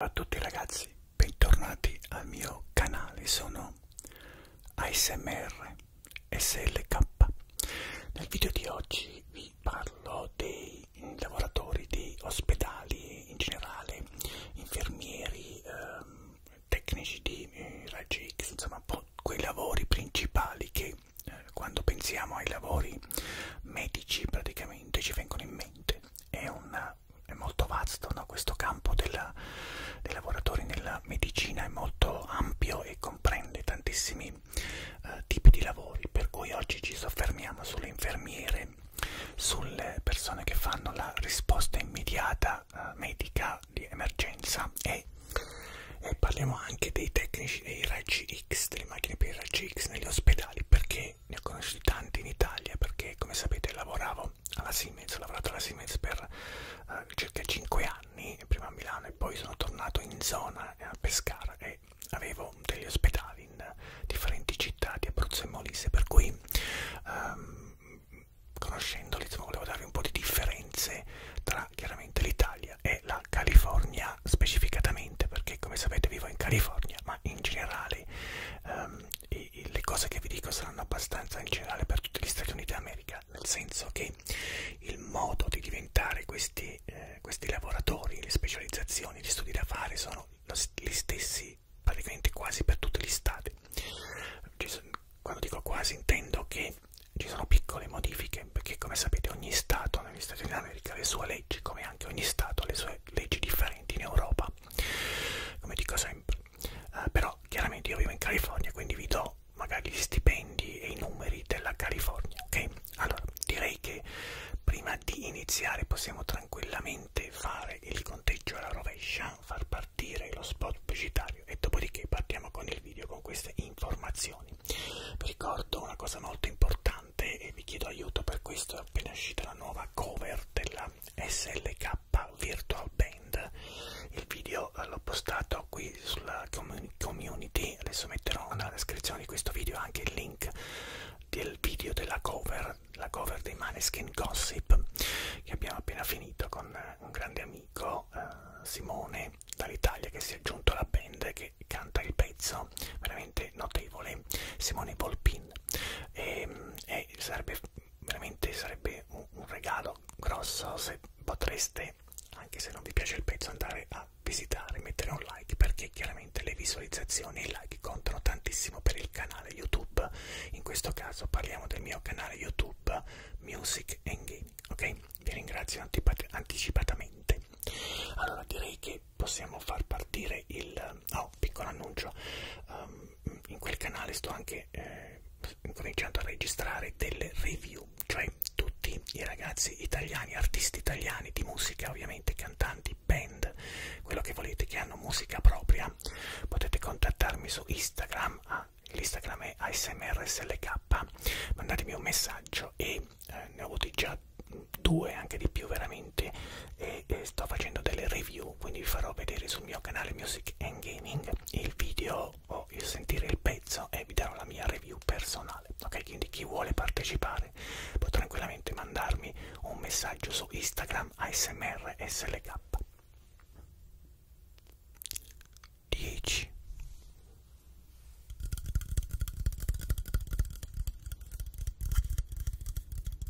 Ciao a tutti ragazzi, bentornati al mio canale, sono ASMR SLK. Nel video di oggi vi parlo dei lavoratori di ospedali in generale, infermieri, ehm, tecnici di eh, raggi X, insomma un po' quei lavori principali che eh, quando pensiamo ai lavori medici praticamente ci vengono in mente. È un è molto vasto, no? questo campo della, dei lavoratori nella medicina è molto ampio e comprende tantissimi eh, tipi di lavori, per cui oggi ci soffermiamo sulle infermiere, sulle persone che fanno la risposta immediata eh, medica di emergenza e, e parliamo anche dei tecnici dei raggi X, delle macchine per i raggi X negli ospedali, perché e ne ho conosciuti tanti in Italia perché come sapete lavoravo alla Siemens, ho lavorato alla Siemens per uh, circa 5 anni, prima a Milano e poi sono tornato in zona eh, a Pescara e avevo degli ospedali in differenti città di Abruzzo e Molise per cui um, conoscendoli insomma, volevo darvi un po' di differenze tra chiaramente l'Italia e la California specificatamente perché come sapete vivo in California ma in generale um, e, e le cose che vi dico saranno abbastanza in generale per tutti gli Stati Uniti d'America, nel senso che il modo di diventare questi, eh, questi lavoratori, le specializzazioni, gli studi da fare sono gli stessi praticamente quasi per tutti gli stati. Quando dico quasi intendo che ci sono piccole modifiche, perché come sapete ogni Stato negli Stati Uniti d'America ha le sue leggi, come anche ogni Stato ha le sue leggi differenti in Europa come dico sempre eh, però chiaramente io vivo in California quindi vi do magari gli stipendi e i numeri della California ok allora direi che prima di iniziare possiamo tranquillamente fare il conteggio alla rovescia far partire lo spot pubblicitario e dopodiché partiamo con il video con queste informazioni vi ricordo una cosa molto importante cantante e vi chiedo aiuto per questo, è appena uscita la nuova cover della SLK Virtual Band. Il video eh, l'ho postato qui sulla community, adesso metterò nella descrizione di questo video anche il link del video della cover, la cover dei Maneskin Gossip che abbiamo appena finito con eh, un grande amico eh, Simone dall'Italia che si è aggiunto alla band che canta il pezzo veramente notevole Simone Volpin e, ehm, e sarebbe veramente sarebbe un, un regalo grosso se potreste anche se non vi piace il pezzo andare a visitare mettere un like perché chiaramente le visualizzazioni e i like contano tantissimo per il canale youtube in questo caso parliamo del mio canale youtube music and gaming ok vi ringrazio anticipat anticipatamente allora direi che quindi possiamo far partire il oh, piccolo annuncio um, in quel canale sto anche eh, cominciando a registrare delle review cioè tutti i ragazzi italiani artisti italiani di musica ovviamente cantanti band quello che volete che hanno musica propria potete contattarmi su instagram ah, l'instagram è asmrslk mandatemi un messaggio e eh, ne ho avuti già due anche di più veramente e, e sto facendo delle review quindi vi farò vedere sul mio canale Music and Gaming il video o il sentire il pezzo e vi darò la mia review personale ok quindi chi vuole partecipare può tranquillamente mandarmi un messaggio su Instagram ASMR SLK 10 9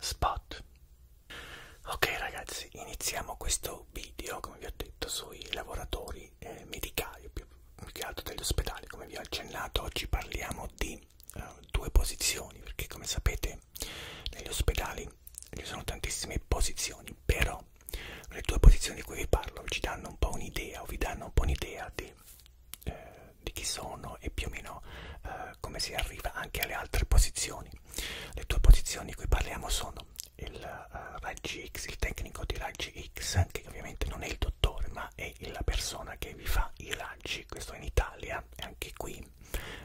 Spot. Ok ragazzi, iniziamo questo video, come vi ho detto, sui lavoratori eh, medicali, più, più che altro degli ospedali. Come vi ho accennato, oggi parliamo di eh, due posizioni, perché come sapete negli ospedali ci sono tantissime posizioni, però le due posizioni di cui vi parlo ci danno un po' un'idea o vi danno un po' un'idea di eh, di chi sono e più o meno eh, come si arriva anche alle altre posizioni. Le due posizioni di cui parliamo sono il eh, Raggi X, il tecnico di Raggi X, che ovviamente non è il dottore ma è la persona che vi fa i raggi, questo in Italia e anche qui,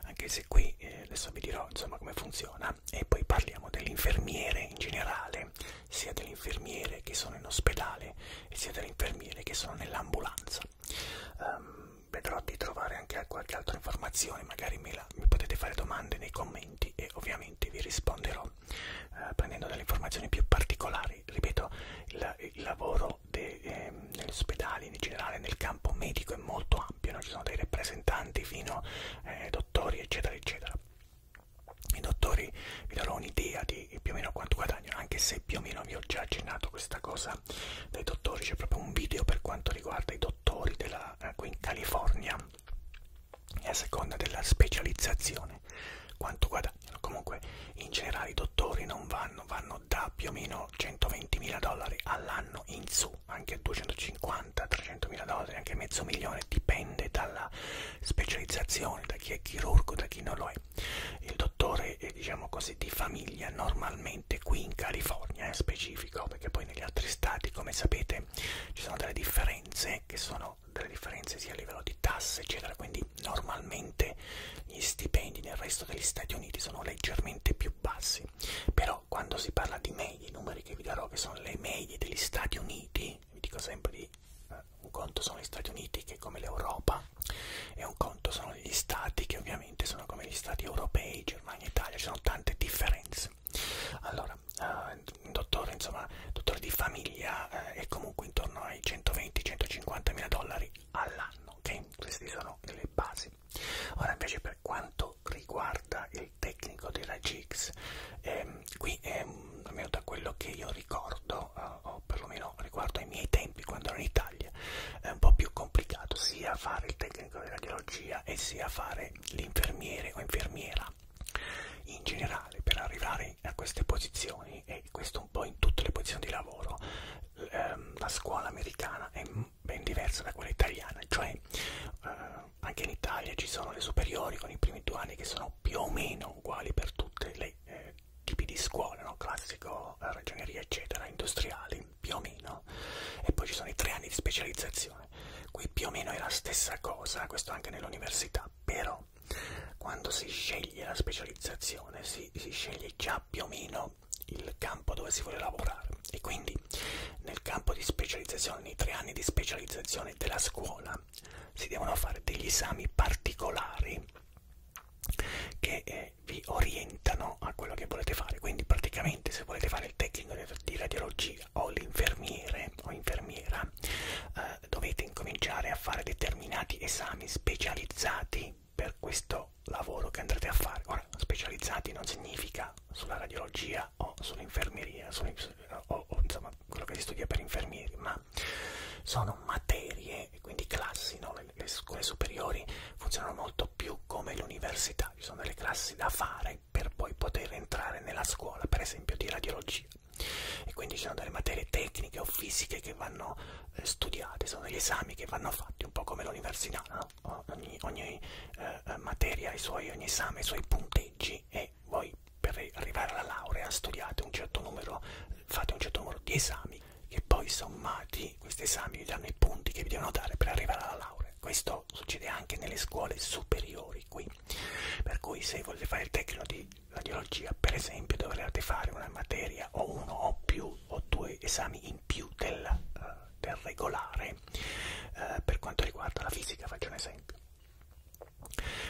anche se qui eh, adesso vi dirò insomma come funziona e poi parliamo dell'infermiere in generale sia delle infermiere che sono in ospedale e sia delle infermiere che sono nell'ambulanza. Um, vedrò di trovare anche qualche altra informazione, magari me la, mi potete fare domande nei commenti e ovviamente vi risponderò uh, prendendo delle informazioni più particolari. Ripeto, il, il lavoro eh, negli ospedali in generale nel campo medico è molto ampio, no? ci sono dei rappresentanti fino a eh, dottori eccetera eccetera i dottori vi darò un'idea di più o meno quanto guadagnano, anche se più o meno vi ho già accennato questa cosa dai dottori, c'è proprio un video per quanto riguarda i dottori della, qui ecco, in California e a seconda della specializzazione quanto guadagnano. Comunque in generale i dottori non vanno, vanno da più o meno 120 mila dollari all'anno in su, anche 250, 300 mila dollari, anche mezzo milione, dipende dalla specializzazione, da chi è chirurgo, da chi non lo è. Il dottore, è, diciamo così, di famiglia normalmente qui in California, è eh, specifico, perché poi negli altri stati, come sapete, ci sono delle differenze che sono delle differenze sia a livello di tasse, eccetera. Quindi normalmente gli stipendi nel resto degli Stati Uniti sono leggermente più bassi. Però quando si parla di medie, i numeri che vi darò che sono le medie degli Stati Uniti, vi dico sempre di eh, un conto sono gli Stati Uniti che è come l'Europa e un conto sono gli Stati che ovviamente sono come gli Stati europei, Germania, Italia, ci sono tante differenze. Allora, eh, un dottore, insomma, dottore di famiglia eh, è comunque intorno ai 120-150 mila dollari all'anno, ok? Queste sono le basi. Ora invece per quanto riguarda il tecnico della GIX, ehm, qui ehm, almeno da quello che io ricordo, eh, Italia, o perlomeno riguardo ai miei tempi quando ero in Italia, è un po' più complicato sia fare il tecnico di radiologia e sia fare l'infermiere o infermiera. In generale, per arrivare a queste posizioni, e questo un po' in tutte le posizioni di lavoro, ehm, la scuola americana è ben diversa da quella italiana, cioè eh, anche in Italia ci sono le superiori con i primi due anni che sono più o meno uguali per tutte le eh, tipi di scuole, no? classico, eh, ragioneria eccetera, industriali più o meno, e poi ci sono i tre anni di specializzazione. Qui più o meno è la stessa cosa, questo anche nell'università, però quando si sceglie la specializzazione si, si sceglie già più o meno il campo dove si vuole lavorare e quindi nel campo di specializzazione, nei tre anni di specializzazione della scuola, si devono fare degli esami particolari che eh, vi orientano a quello che volete fare quindi praticamente se volete fare il tecnico di radiologia o l'infermiere o infermiera eh, dovete incominciare a fare determinati esami specializzati per questo lavoro che andrete a fare ora specializzati non significa sulla radiologia o sull'infermeria o, o insomma insomma quello che si studia per infermieri, ma sono materie, quindi classi, no? le, le scuole superiori funzionano molto più come l'università, ci sono delle classi da fare per poi poter entrare nella scuola, per esempio di radiologia. E quindi ci sono delle materie tecniche o fisiche che vanno eh, studiate, sono degli esami che vanno fatti, un po' come l'università, no? ogni, ogni eh, eh materia ha i suoi, ogni esame ha i suoi punteggi e che voi per arrivare alla laurea studiate un certo numero, fate un certo numero di esami che poi sommati questi esami vi danno i punti che vi devono dare per arrivare alla laurea. Questo succede anche nelle scuole superiori qui. Per cui se volete fare il tecnico di radiologia, per esempio, dovrete fare una materia o uno o più o due esami in più del, uh, del regolare uh, per quanto riguarda la fisica, faccio un esempio.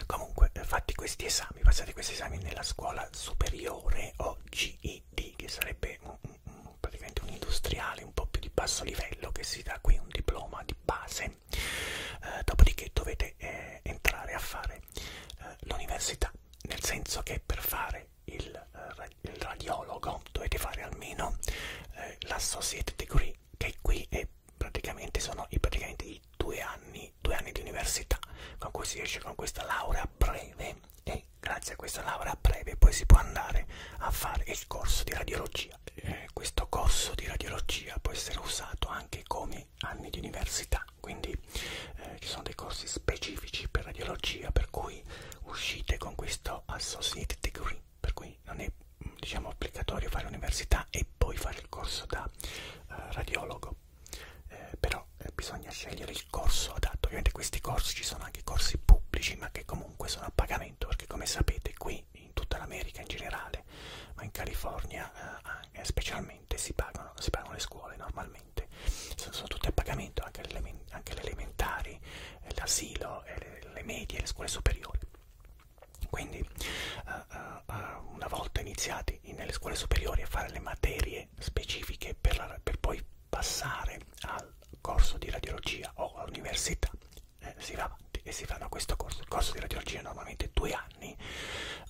Comunque, eh, fatti questi esami, passati questi esami nella scuola superiore o GED, che sarebbe un, un, praticamente un industriale un po' più di basso livello, che si dà qui un diploma di base, eh, dopodiché dovete eh, entrare a fare eh, l'università, nel senso che per fare il, eh, il radiologo dovete fare almeno eh, l'associate degree, che qui è che praticamente sono i, praticamente i due, anni, due anni di università con cui si esce con questa laurea breve e grazie a questa laurea breve poi si può andare a fare il corso di radiologia. Eh, questo corso di radiologia può essere usato anche come anni di università, quindi eh, ci sono dei corsi specifici per radiologia per cui uscite con questo associate degree, per cui non è diciamo obbligatorio fare l'università e poi fare il corso da eh, radiologo eh, però eh, bisogna scegliere il corso adatto. Ovviamente questi corsi ci sono anche corsi pubblici, ma che comunque sono a pagamento, perché come sapete qui in tutta l'America in generale, ma in California eh, eh specialmente si pagano, si pagano le scuole normalmente, sono, sono tutte a pagamento, anche le, anche le elementari, eh, l'asilo, eh, le, le medie, le scuole superiori. Quindi uh, uh, una volta iniziati nelle scuole superiori a fare le materie specifiche per, la, per poi passare al corso di radiologia o all'università, eh, si va avanti e si fanno questo corso. Il corso di radiologia è normalmente due anni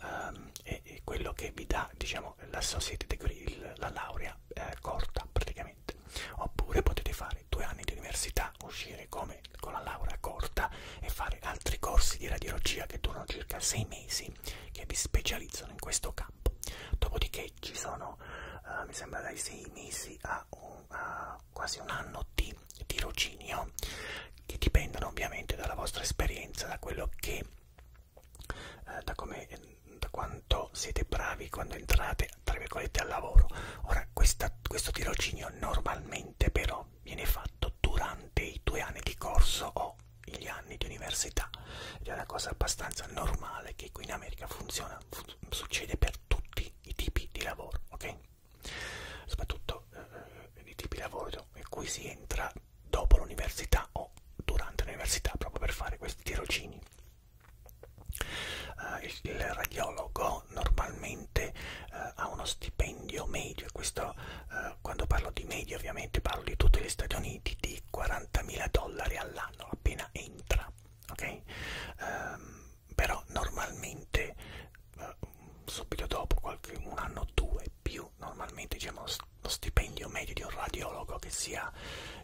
um, e, e quello che vi dà diciamo, l'associate degree, il, la laurea eh, corta praticamente. Oppure potete fare due anni di università, uscire come laurea, con la laurea corta e fare altri corsi di radiologia che durano circa 6 mesi che vi specializzano in questo campo. Dopodiché ci sono, uh, mi sembra, dai 6 mesi a, un, a quasi un anno di tirocinio che dipendono ovviamente dalla vostra esperienza, da quello che uh, da come eh, da quanto siete bravi quando entrate tra virgolette al lavoro ora questa, questo tirocinio normalmente però viene fatto durante i due anni di corso o gli anni di università ed è una cosa abbastanza normale che qui in America funziona, succede per tutti i tipi di lavoro, ok? Soprattutto eh, i tipi di lavoro in cui si entra dopo l'università o durante l'università proprio per fare questi tirocini. Uh, il, il radiologo normalmente uh, ha uno stipendio medio, questo uh, eh, quando parlo di media ovviamente parlo di tutti gli Stati Uniti, di 40.000 dollari all'anno appena entra, ok? Eh, però normalmente eh, subito dopo qualche, un anno o due più, normalmente diciamo lo stipendio medio di un radiologo che sia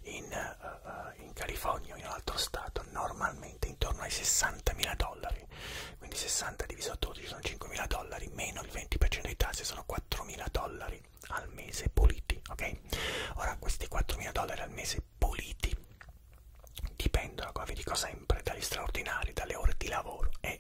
in, uh, in California o in un altro stato, normalmente intorno ai 60.000 dollari quindi 60 diviso 12 sono 5.000 dollari meno il 20% dei tasse sono 4.000 dollari al mese puliti ok ora questi 4.000 dollari al mese puliti dipendono come vi dico sempre dagli straordinari dalle ore di lavoro e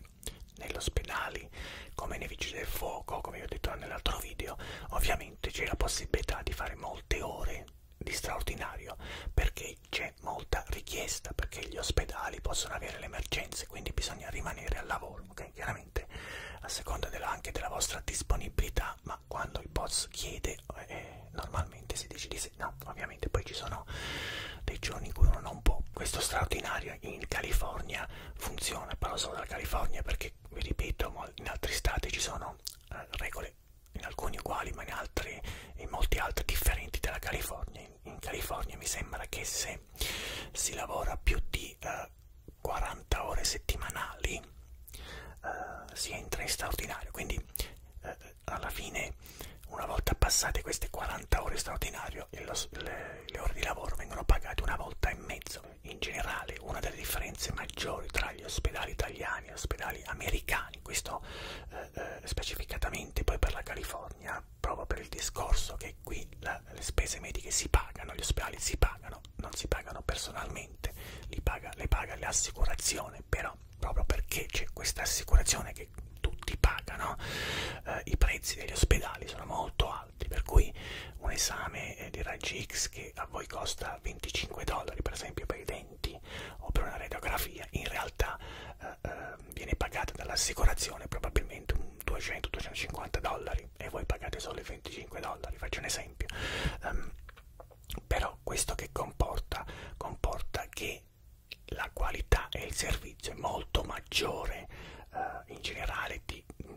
nell'ospedale come nei vigili del fuoco come vi ho detto nell'altro video ovviamente c'è la possibilità di fare molte ore di straordinario perché poi c'è molta richiesta perché gli ospedali possono avere le emergenze, quindi bisogna rimanere al lavoro, ok? Chiaramente a seconda della, anche della vostra disponibilità, ma quando il boss chiede eh, normalmente si dice di sì, no, ovviamente poi ci sono dei giorni in cui uno non può. Questo straordinario in California funziona, parlo solo della California perché vi ripeto, in altri stati ci sono eh, regole in alcuni uguali ma in altri in molti altri differenti dalla California in California mi sembra che se si lavora più di eh, 40 ore settimanali eh, si entra in straordinario, quindi eh, alla fine una volta passate queste 40 ore straordinario lo, le, le ore di lavoro vengono pagate una volta e mezzo. In generale una delle differenze maggiori tra gli ospedali italiani e gli ospedali americani, questo eh, eh specificatamente poi per la California, proprio per il discorso che qui la, le spese mediche si pagano, gli ospedali si pagano, non si pagano personalmente, li paga, le paga l'assicurazione, però proprio perché c'è questa assicurazione che tutti pagano, eh, i prezzi degli ospedali sono molto alti, per cui un esame eh, di raggi X che a voi costa 25 dollari per esempio per i denti o per una radiografia, in realtà eh, eh, viene pagata dall'assicurazione probabilmente un 200-250 dollari e voi pagate solo i 25 dollari, faccio un esempio. Um, però questo che comporta? Comporta che la qualità e il servizio è molto maggiore uh, in generale di mm,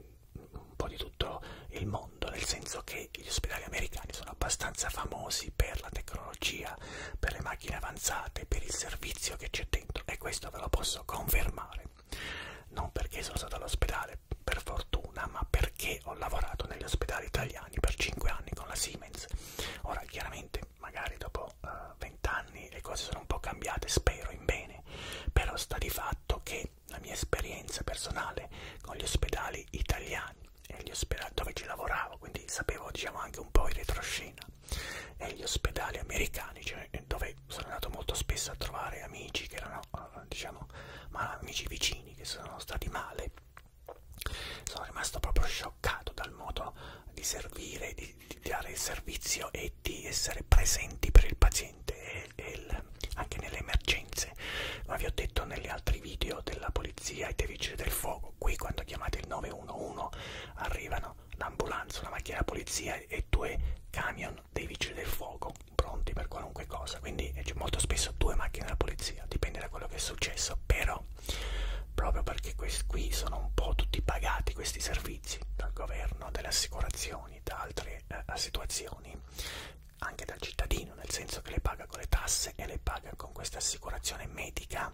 un po' di tutto il mondo, nel senso che gli ospedali americani sono abbastanza famosi per la tecnologia sia per le macchine avanzate, per il servizio che c'è dentro e questo ve lo posso confermare. Non perché sono stato all'ospedale, per fortuna, ma perché ho lavorato negli ospedali italiani per 5 anni con la Siemens. Ora, chiaramente, magari dopo uh, eh, 20 anni le cose sono un po' cambiate, spero in bene, però sta di fatto che la mia esperienza personale con gli ospedali italiani e gli ospedali dove ci lavoravo, quindi sapevo diciamo anche un po' in retroscena, e gli ospedali americani cioè, dove sono andato molto spesso a trovare amici che erano eh, diciamo ma amici vicini che sono stati male sono rimasto proprio scioccato dal modo di servire di, di dare il servizio e di essere presenti per il paziente e, e il, anche nelle emergenze come vi ho detto negli altri video della polizia e dei vigili del fuoco qui quando chiamate il 911 arrivano l'ambulanza, una macchina della polizia e due camion dei vigili del fuoco pronti per qualunque cosa, quindi c'è molto spesso due macchine della polizia, dipende da quello che è successo, però proprio perché qui sono un po' tutti pagati questi servizi dal governo, dalle assicurazioni, da altre eh, situazioni, anche dal cittadino, nel senso che le paga con le tasse e le paga con questa assicurazione medica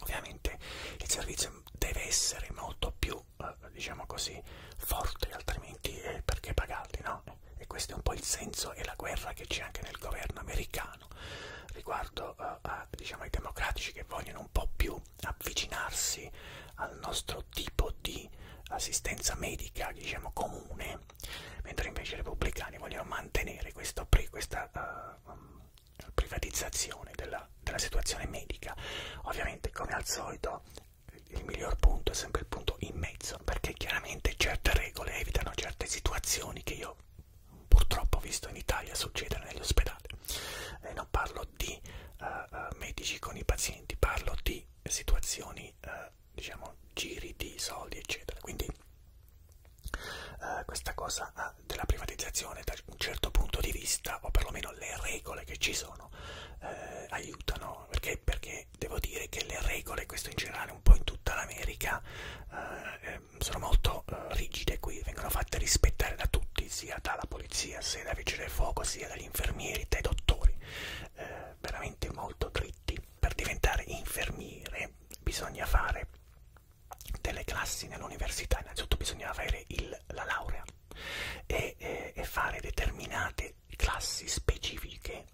Ovviamente il servizio deve essere molto più, eh, diciamo così, forte, altrimenti eh, perché pagarli, no? E questo è un po' il senso e la guerra che c'è anche nel governo americano riguardo eh, a, diciamo, ai democratici che vogliono un po' più avvicinarsi al nostro tipo di assistenza medica, diciamo, comune, mentre invece i repubblicani vogliono mantenere questo, pre, questa, uh, privatizzazione della, della situazione medica. Ovviamente, come al solito, il miglior punto è sempre il punto in mezzo, perché chiaramente certe regole evitano certe situazioni che io purtroppo ho visto in Italia succedere negli ospedali. Eh, non parlo di uh, medici con i pazienti, parlo di situazioni, uh, diciamo, giri di soldi, eccetera. Quindi eh, questa cosa ah, della privatizzazione da un certo punto di vista o perlomeno le regole che ci sono eh, aiutano perché, perché devo dire che le regole questo in generale un po' in tutta l'America eh, eh sono molto eh, rigide qui vengono fatte rispettare da tutti sia dalla polizia sia dai vigili del fuoco sia dagli infermieri dai dottori eh, veramente molto dritti per diventare infermiere bisogna fare delle classi nell'università innanzitutto bisognava avere il, la laurea e, e, e fare determinate classi specifiche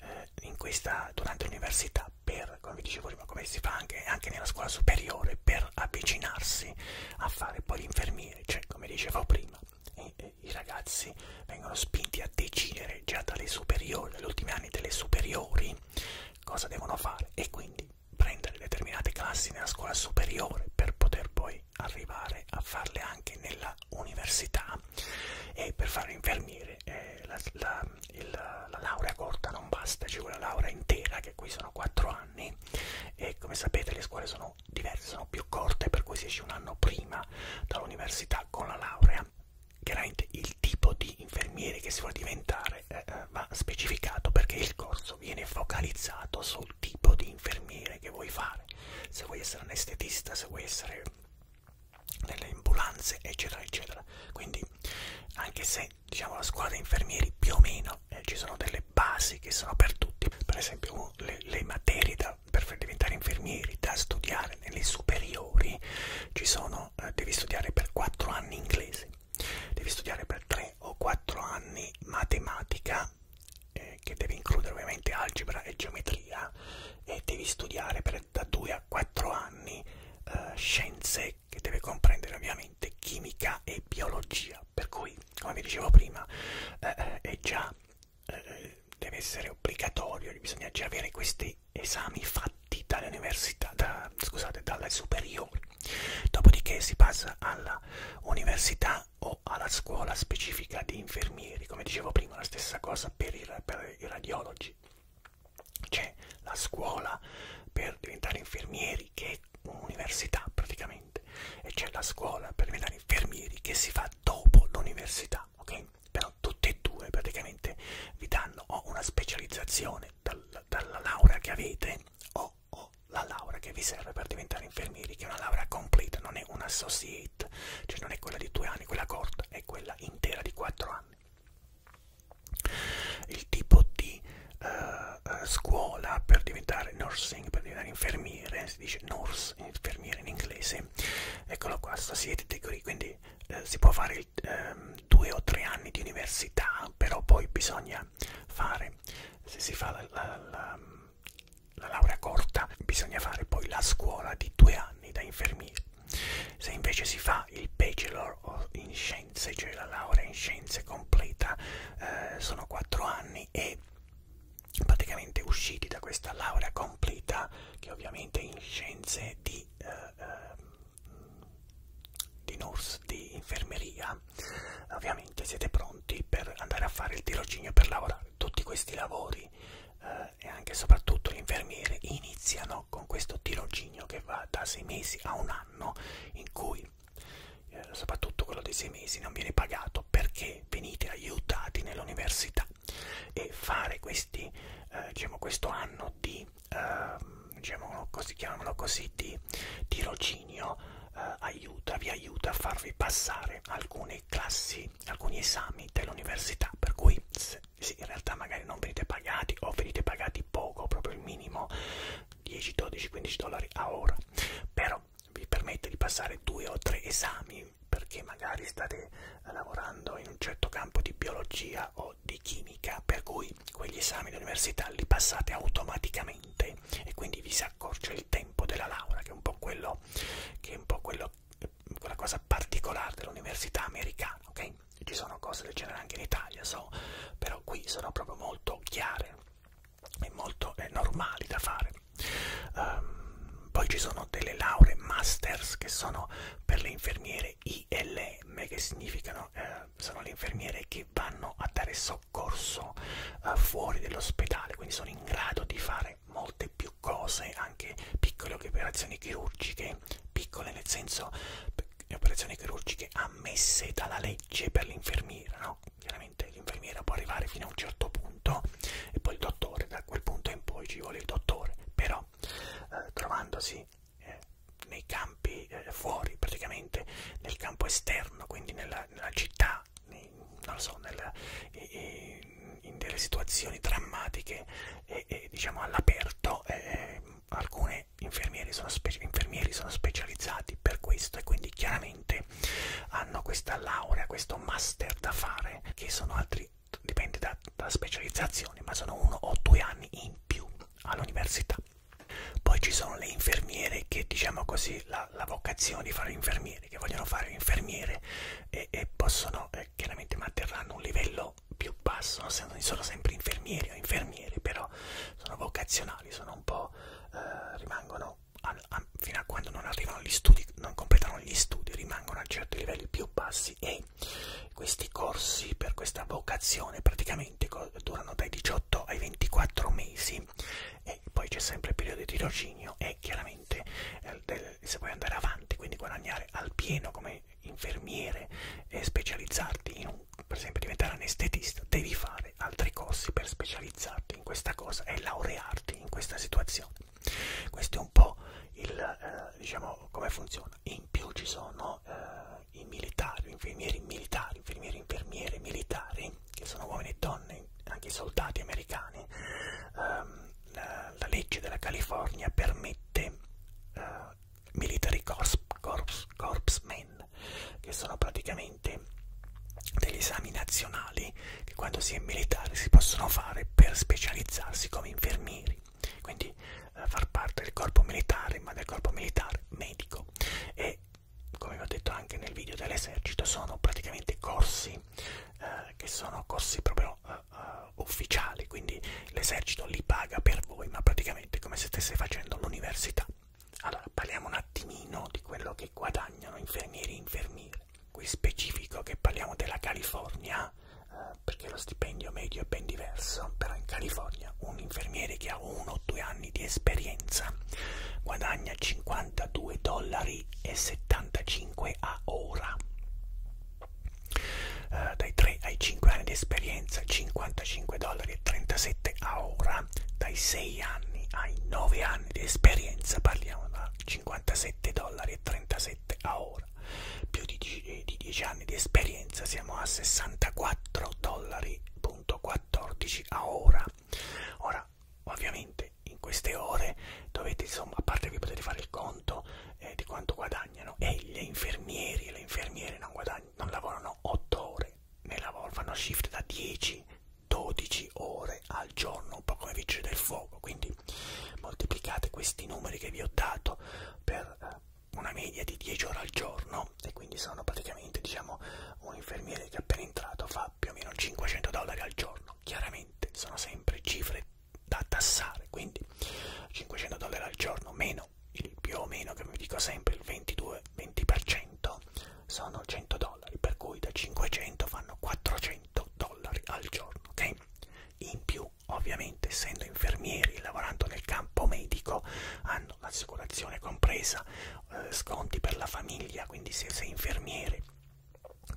eh, in questa, durante l'università per, come vi dicevo prima, come si fa anche, anche nella scuola superiore per avvicinarsi a fare poi l'infermiere, cioè come dicevo prima e, e, i ragazzi vengono spinti a decidere già dalle superiori, dagli ultimi anni delle superiori cosa devono fare e quindi prendere determinate classi nella scuola superiore per poter poi arrivare a farle anche nella università e per fare infermiere eh, la, la, il, la laurea corta non basta, ci vuole la laurea intera che qui sono 4 anni e come sapete le scuole sono diverse, sono più corte per cui si esce un anno prima dall'università con la laurea chiaramente il tipo di infermiere che si vuole diventare eh, eh, va specificato perché il corso viene focalizzato sul tipo di infermiere che vuoi fare se vuoi essere anestetista se vuoi essere nelle ambulanze eccetera eccetera quindi anche se diciamo la scuola di infermieri più o meno eh, ci sono delle basi che sono per tutti per esempio le, le materie da, per diventare infermieri da studiare nelle superiori ci sono eh, devi studiare per 4 anni inglese mesi. Devi studiare per 3 o 4 anni matematica, eh, che deve includere ovviamente algebra e geometria, e devi studiare per da 2 a 4 anni eh, scienze, che deve comprendere ovviamente chimica e biologia. Per cui, come vi dicevo prima, eh, eh è già eh, eh, deve essere obbligatorio, bisogna già avere questi esami fatti dall'università, da, scusate, dalle superiori. Dopodiché si passa alla università o alla scuola specifica di infermieri, come dicevo prima, la stessa cosa per i, per i radiologi. C'è la scuola per diventare infermieri che è un'università praticamente e c'è la scuola per diventare infermieri che si fa dopo l'università, ok? Però tutte e due praticamente vi danno o una specializzazione bene, dal, dalla laurea che avete o, o la laurea che vi serve per diventare infermieri, che è una laurea completa, non è un associate, cioè non è quella di due anni, quella corta, è quella intera di quattro anni. Il tipo di uh, scuola per diventare nursing, per diventare infermiere, si dice nurse, infermiere in inglese, eccolo qua, associate degree, quindi uh, si può fare il ehm, due o tre anni di università, però poi bisogna fare, se si fa la, la, la, la laurea corta, bisogna fare poi la scuola di due anni da infermieri. Se invece si fa il bachelor in scienze, cioè la laurea in scienze completa, eh, sono quattro anni e praticamente usciti da questa laurea completa, che ovviamente è in scienze di eh, eh, di nurse, di infermeria, ovviamente siete pronti per andare a fare il tirocinio per lavorare. Tutti questi lavori eh, e anche e soprattutto gli infermieri iniziano con questo tirocinio che va da sei mesi a un anno in cui eh, soprattutto quello dei sei mesi non viene pagato perché venite aiutati nell'università e fare questi, eh, diciamo, questo anno di eh, diciamo così, chiamiamolo così, di tirocinio eh, aiuta, vi aiuta a farvi passare alcune classi, alcuni esami dell'università, per cui se, sì, in realtà magari non venite pagati o venite pagati poco, proprio il minimo 10, 12, 15 dollari a ora, però vi permette di passare due o tre esami perché magari state lavorando in un certo campo di biologia fisica o di chimica, per cui quegli esami di università li passate automaticamente e quindi vi si accorcia il tempo della laurea, che è un po' quello che è un po' quello, quella cosa particolare dell'università americana, ok? Ci sono cose del genere anche in Italia, so, però qui sono proprio molto chiare e molto eh, normali da fare. Um, poi ci sono delle lauree masters che sono per le infermiere ILM che significano eh, sono le infermiere che vanno a dare soccorso eh, fuori dell'ospedale, quindi sono in grado di fare molte più cose, anche piccole operazioni chirurgiche, piccole nel senso eh, operazioni chirurgiche ammesse dalla legge per l'infermiera, no? Chiaramente l'infermiera può arrivare fino a un certo punto e poi il dottore, da quel punto in poi ci vuole il dottore, però eh, trovandosi eh, nei campi eh, fuori praticamente, nel campo esterno, quindi nella, nella città, nei, non lo so, nella, in, in delle situazioni drammatiche e, e diciamo all'aperto, eh, eh alcuni infermieri sono, spe infermieri sono specializzati per questo e quindi chiaramente hanno questa laurea, questo master da fare che sono altri dipende da la specializzazione, ma sono uno o due anni in più all'università. Poi ci sono le infermiere che, diciamo così, la, la vocazione di fare infermiere, che vogliono fare infermiere e, e possono, eh, chiaramente manterranno un livello più basso, non sono sempre infermieri o infermieri, però sono vocazionali, sono un po', eh, rimangono a, a, fino a quando non arrivano gli studi, non completano gli studi, rimangono a certi livelli più bassi e che questi corsi per questa vocazione praticamente durano dai 18 ai 24 mesi e poi c'è sempre il periodo di tirocinio e chiaramente eh, del, se vuoi andare avanti, quindi guadagnare al pieno come infermiere e specializzarti in un, per esempio diventare anestetista, devi fare altri corsi per specializzarti in questa cosa e laurearti in questa situazione. Questo è un po' il eh, diciamo come funziona persona e in più ci sono eh, i militari, infermieri militari, infermieri, infermiere militari, che sono uomini e donne, anche i soldati americani. Um, la, la legge della California permette uh, military corps, corps, corps men, che sono praticamente degli esami nazionali che quando si è militari si possono fare per specializzarsi come infermieri quindi eh, far parte del corpo militare, ma del corpo militare medico e come vi ho detto anche nel video dell'esercito sono praticamente corsi eh, che sono corsi proprio uh, uh, ufficiali, quindi l'esercito li paga per voi, ma praticamente come se stesse facendo l'università. Allora, parliamo un attimino di quello che guadagnano infermieri e infermiere. Qui specifico che parliamo della California, eh, perché lo stipendio medio è ben diverso, però in California un infermiere che ha uno o due anni di esperienza guadagna 52 dollari e 75 a ora. Eh, dai 3 ai 5 anni di esperienza 55 dollari e 37 a ora, dai 6 anni ai 9 anni di esperienza parliamo da 57 dollari e 37 2007 a ora, più di 10, eh, di 10 anni di esperienza, siamo a 64 dollari.14 a ora. Ora, ovviamente, in queste ore dovete, insomma, a parte che potete fare il conto eh, di quanto guadagnano, e gli infermieri e le infermiere non, non lavorano 8 ore, ne lavorano, fanno shift da 10 12 ore al giorno, un po' come vigile del fuoco, quindi moltiplicate questi numeri che vi ho dato per eh, una media di 10 ore al giorno e quindi sono praticamente diciamo un infermiere che appena entrato fa più o meno 500 dollari al giorno chiaramente sono sempre cifre da tassare quindi 500 dollari al giorno meno il più o meno che vi dico sempre il 22 20% sono 100 dollari per cui da 500 fanno 400 dollari al giorno ok in più ovviamente essendo infermieri e lavorando nel campo medico hanno l'assicurazione compresa, eh, sconti per la famiglia, quindi se sei infermiere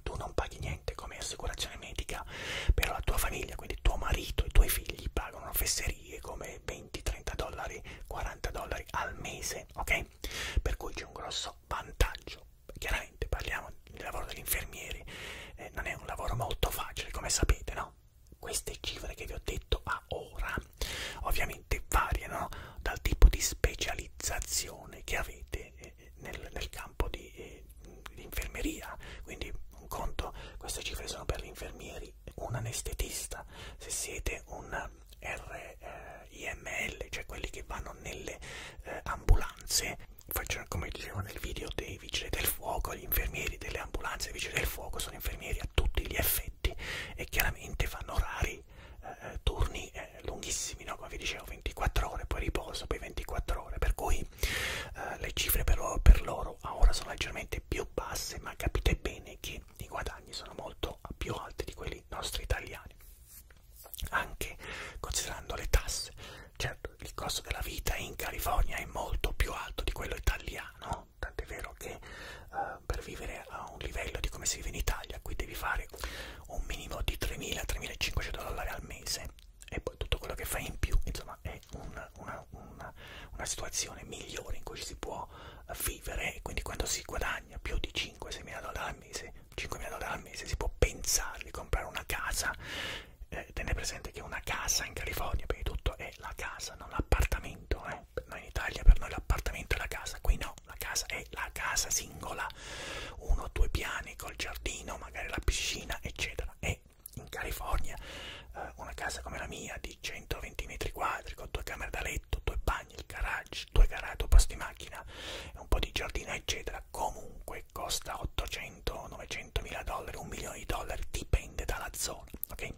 tu non paghi niente come assicurazione medica, però la tua famiglia, quindi tuo marito e i tuoi figli pagano fesserie come 20, 30 dollari, 40 dollari al mese, ok? Per cui c'è un grosso vantaggio. Chiaramente parliamo del lavoro degli infermieri, eh, non è un lavoro molto facile, come sapete, no? queste cifre che vi ho detto a ora ovviamente variano dal tipo di specializzazione che avete eh, nel, nel campo di, eh, di infermeria quindi un conto queste cifre sono per gli infermieri un anestetista se siete un RIML, eh, cioè quelli che vanno nelle eh, ambulanze faccio, come dicevo nel video dei vigili del fuoco, gli infermieri delle ambulanze, i vigili del fuoco sono infermieri a tutti gli effetti e chiaramente fanno orari, eh, turni eh, lunghissimi, no? come vi dicevo 24 ore, poi riposo, poi 24 ore, per cui eh, le cifre per loro, per loro a ora sono leggermente più basse, ma capite bene che i guadagni sono molto più alti di quelli nostri italiani anche considerando le tasse Certo, il costo della vita in California è molto più alto di quello italiano, tant'è vero che eh, per vivere a un livello di come si vive in Italia, qui devi fare un minimo di 3.000-3.500 dollari al mese e poi tutto quello che fai in più, insomma, è un, una, una, una situazione migliore in cui ci si può vivere e quindi quando si guadagna più di 5-6.000 dollari al mese, 5.000 dollari al mese si può pensare di comprare una casa eh, tenete presente che una casa in California, prima di tutto, è la casa, non l'appartamento. Eh. Noi in Italia per noi l'appartamento è la casa, qui no, la casa è la casa singola, uno o due piani col giardino, magari la piscina, eccetera. E in California eh, una casa come la mia di 120 metri quadri, con due camere da letto, due bagni, il garage, due garage, due posti macchina, un po' di giardino, eccetera, comunque che costa 800, 900 mila dollari, un milione di dollari, dipende dalla zona, ok? Eh,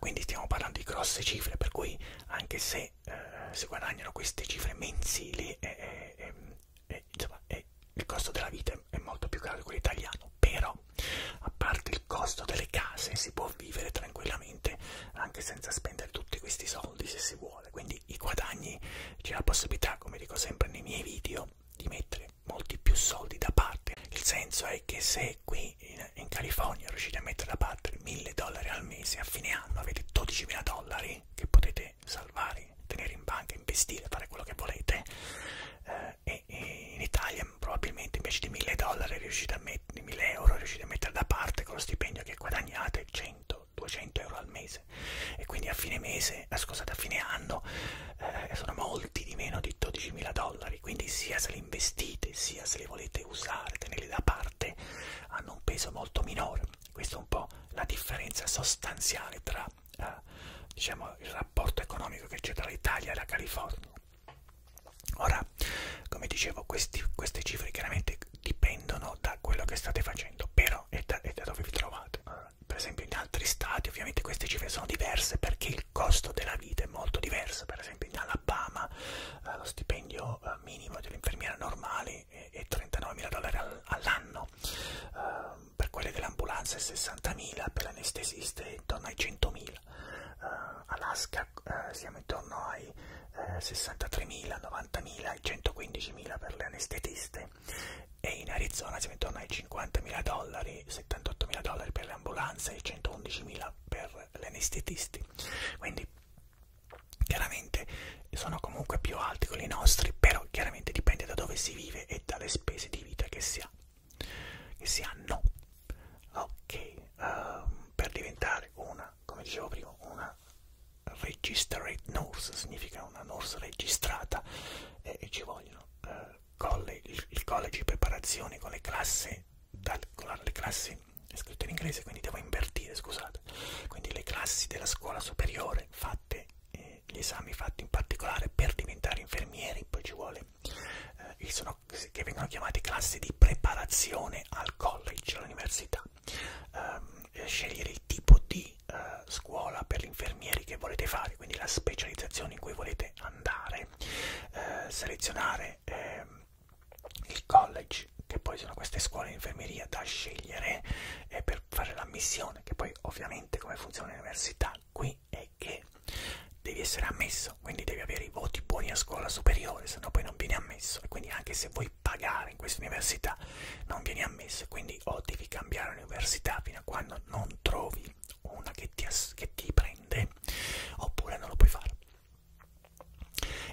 quindi stiamo parlando di grosse cifre, per cui anche se eh, si guadagnano queste cifre mensili, eh, eh, eh, insomma, eh, il costo della vita è molto più caro di quello italiano, però a parte il costo delle case si può vivere tranquillamente anche senza spendere tutti questi soldi se si vuole, quindi i guadagni, c'è la possibilità, come dico sempre nei miei video, conto di mettere molti più soldi da parte. Il senso è che se qui in, in California riuscite a mettere da parte 1000 dollari al mese, a fine anno avete 12.000 dollari che potete salvare, tenere in banca, investire, fare quello che volete. Eh, e, e in Italia probabilmente invece di 1000 dollari riuscite a mettere 1000 euro riuscite a mettere da parte con lo stipendio che guadagnate 100-200 euro al mese mese e quindi a fine mese, eh, scusate, a fine anno eh, sono molti di meno di 12.000 dollari, quindi sia se li investite sia se li volete usare, tenerli da parte, hanno un peso molto minore. Questa è un po' la differenza sostanziale tra eh, diciamo, il rapporto economico che c'è tra l'Italia e la California. Ora, come dicevo, questi, queste cifre chiaramente dipendono da quello che state facendo, però è da, è da dove vi trovate per esempio in altri stati ovviamente queste cifre sono diverse perché il costo della vita è molto diverso, per esempio in Alabama eh, lo stipendio eh, minimo dell'infermiera normale è, è 39.000 dollari all all'anno, eh, per quelle dell'ambulanza è 60.000, per l'anestesista è intorno ai 100.000, eh, Alaska eh, siamo intorno ai eh, 63.000, 90.000 e 115.000 per le anestetiste dolore e in Arizona siamo intorno ai 50.000 dollari, 78.000 dollari per le ambulanze e 111.000 per gli anestetisti. Quindi chiaramente sono comunque più alti quelli nostri, però chiaramente dipende da dove si vive e dalle spese di vita che si, ha. Che si hanno. Ok, uh, per diventare una, come dicevo prima, una registered nurse, significa una nurse registrata e, e ci vogliono eh, college, il, il college di preparazione con le classi, dal, con la, le classi è scritto in inglese quindi devo invertire, scusate, quindi le classi della scuola superiore fatte, eh, gli esami fatti in particolare per diventare infermieri, poi ci vuole, eh, sono, che vengono chiamate classi di preparazione al college, all'università. Um, scegliere il tipo di di eh, scuola per gli infermieri che volete fare, quindi la specializzazione in cui volete andare, eh, selezionare eh, il college, che poi sono queste scuole di infermieria da scegliere eh, per fare l'ammissione, che poi ovviamente come funziona l'università qui è che devi essere ammesso, quindi devi avere i voti buoni a scuola superiore, se no poi non vieni ammesso e quindi anche se vuoi pagare in questa università non vieni ammesso, quindi quindi o devi cambiare università fino a quando non trovi una che ti, che ti prende oppure non lo puoi fare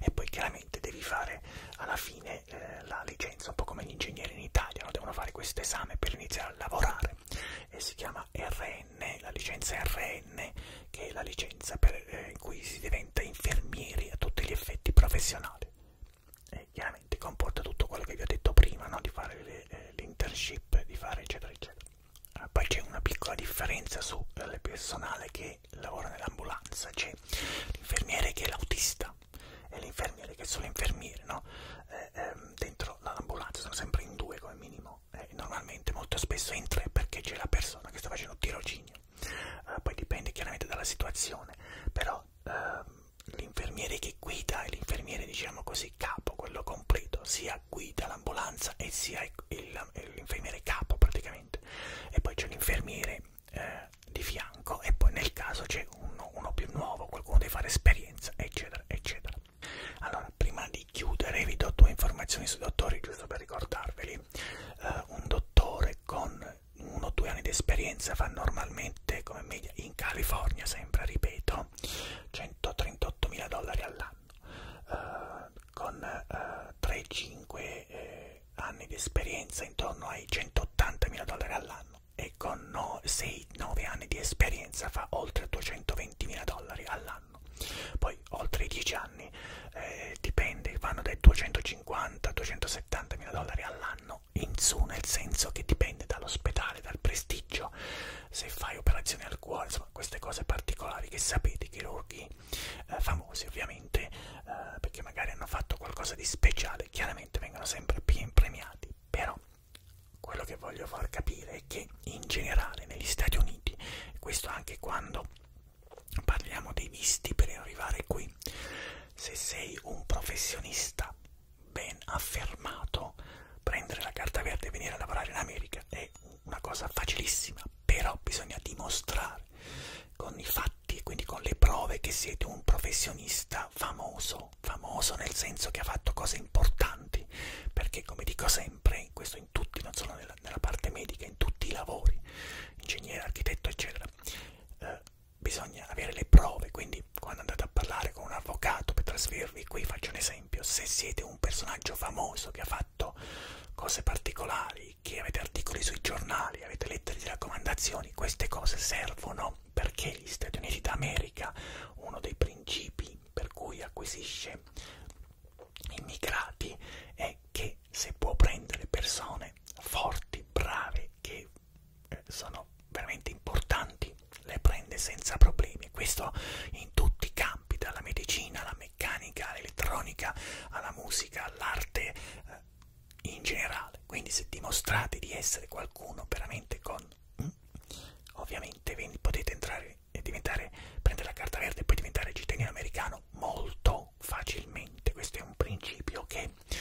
e poi chiaramente devi fare alla fine eh, la licenza un po' come gli ingegneri in Italia no? devono fare questo esame per iniziare a lavorare e si chiama RN la licenza RN che è la licenza per eh, cui si diventa infermieri a tutti gli effetti professionali eh, chiaramente comporta tutto quello che vi ho detto prima, no? di fare eh, l'internship, eh, di fare eccetera eccetera. Eh, poi c'è una piccola differenza sul eh, personale che lavora nell'ambulanza, c'è l'infermiere che è l'autista e l'infermiere che è solo infermiere, no? eh, ehm, dentro l'ambulanza sono sempre in due come minimo, eh, normalmente molto spesso in tre perché c'è la persona che sta facendo tirocinio, eh, poi dipende chiaramente dalla situazione, però... Ehm, l'infermiere che guida e l'infermiere diciamo così capo, quello completo, sia guida l'ambulanza e sia l'infermiere capo praticamente e poi c'è l'infermiere eh, di fianco e poi nel caso c'è uno, uno più nuovo, qualcuno deve fare esperienza eccetera eccetera. Allora prima di chiudere vi do due informazioni sui dottori giusto per ricordarveli, eh, un dottore con uno o due anni di esperienza fa normalmente come media in California sempre ripeto 138 mila dollari all'anno uh, con uh, eh, 3-5 eh, anni di esperienza intorno ai 180 mila dollari all'anno e con no, 6-9 anni di esperienza fa oltre 220 mila dollari all'anno poi oltre i 10 anni eh, dipende vanno dai 250 270 mila dollari all'anno no, in su nel senso che dipende dall'ospedale, dal prestigio, se fai operazioni al cuore, insomma queste cose particolari che sapete i chirurghi eh, famosi ovviamente, eh, perché magari hanno fatto qualcosa di speciale, chiaramente vengono sempre più premiati, però quello che voglio far capire è che in generale negli Stati Uniti, questo anche quando parliamo dei visti per arrivare qui, se sei un professionista ben affermato, prendere la carta verde e venire a lavorare in America è una cosa facilissima, però bisogna dimostrare con i fatti e quindi con le prove che siete un professionista famoso, famoso nel senso che ha fatto cose importanti, perché come dico sempre, questo in tutti, non solo nella, nella parte medica, in tutti i lavori, ingegnere, architetto, eccetera, eh, bisogna avere le prove, quindi quando andate a parlare con un avvocato per trasferirvi qui, faccio un esempio, se siete un personaggio famoso che ha fatto cose particolari, che avete articoli sui giornali, avete lettere di raccomandazioni, queste cose servono perché gli Stati Uniti d'America, uno dei principi per cui acquisisce immigrati, è che se può prendere persone forti, brave, che eh, sono veramente importanti, le prende senza problemi. Questo in tutti i campi, dalla medicina alla meccanica, all'elettronica, alla musica, all'arte eh, in generale. Quindi se dimostrate di essere qualcuno veramente con... Mm, ovviamente potete entrare e diventare, prendere la carta verde e poi diventare cittadino americano molto facilmente. Questo è un principio che perché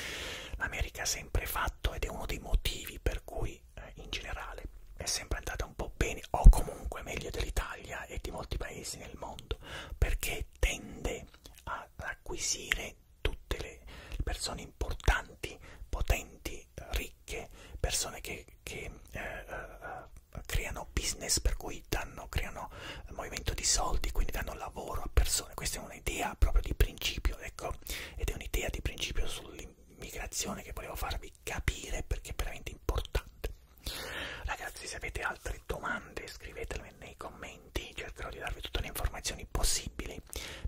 l'America ha sempre fatto ed è uno dei motivi per cui eh, in generale è sempre andata un po' bene o comunque meglio dell'Italia e di molti paesi nel mondo perché tende ad acquisire tutte le persone importanti, potenti, ricche, persone che, che eh, eh, creano business per cui danno, creano movimento di soldi, quindi danno lavoro a persone. Questa è un'idea proprio di principio, ecco, ed è un'idea di principio sull'immigrazione che volevo farvi capire perché è veramente importante. Ragazzi, se avete altre domande scrivetele nei commenti, cercherò di darvi tutte le informazioni possibili.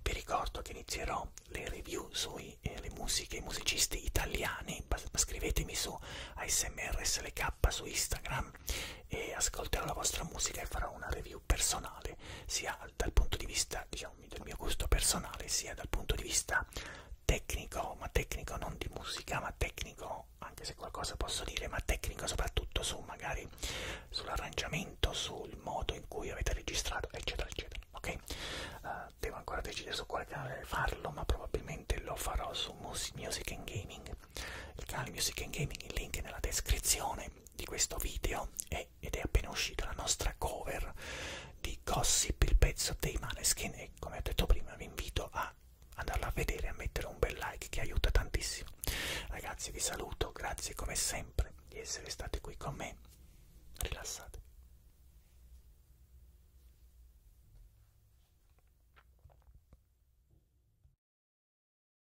Vi ricordo che inizierò le review sulle eh, musiche, i musicisti italiani, scrivetemi su ASMR SLK su Instagram e ascolterò la vostra musica e farò una review personale sia dal punto di vista diciamo, del mio gusto personale sia dal punto di vista tecnico, ma tecnico non di musica, ma tecnico anche se qualcosa posso dire, ma tecnico soprattutto su magari sull'arrangiamento, sul modo in cui avete registrato, eccetera, eccetera. Ok? Uh, devo ancora decidere su quale canale farlo, ma probabilmente lo farò su Music and Gaming. Il canale Music and Gaming, il link è nella descrizione di questo video è, ed è appena uscita la nostra cover di Gossip, il pezzo dei Maneskin e come ho detto prima vi invito a andarla a vedere e a mettere un bel like che aiuta tantissimo. Ragazzi vi saluto, grazie come sempre di essere stati qui con me, rilassatevi.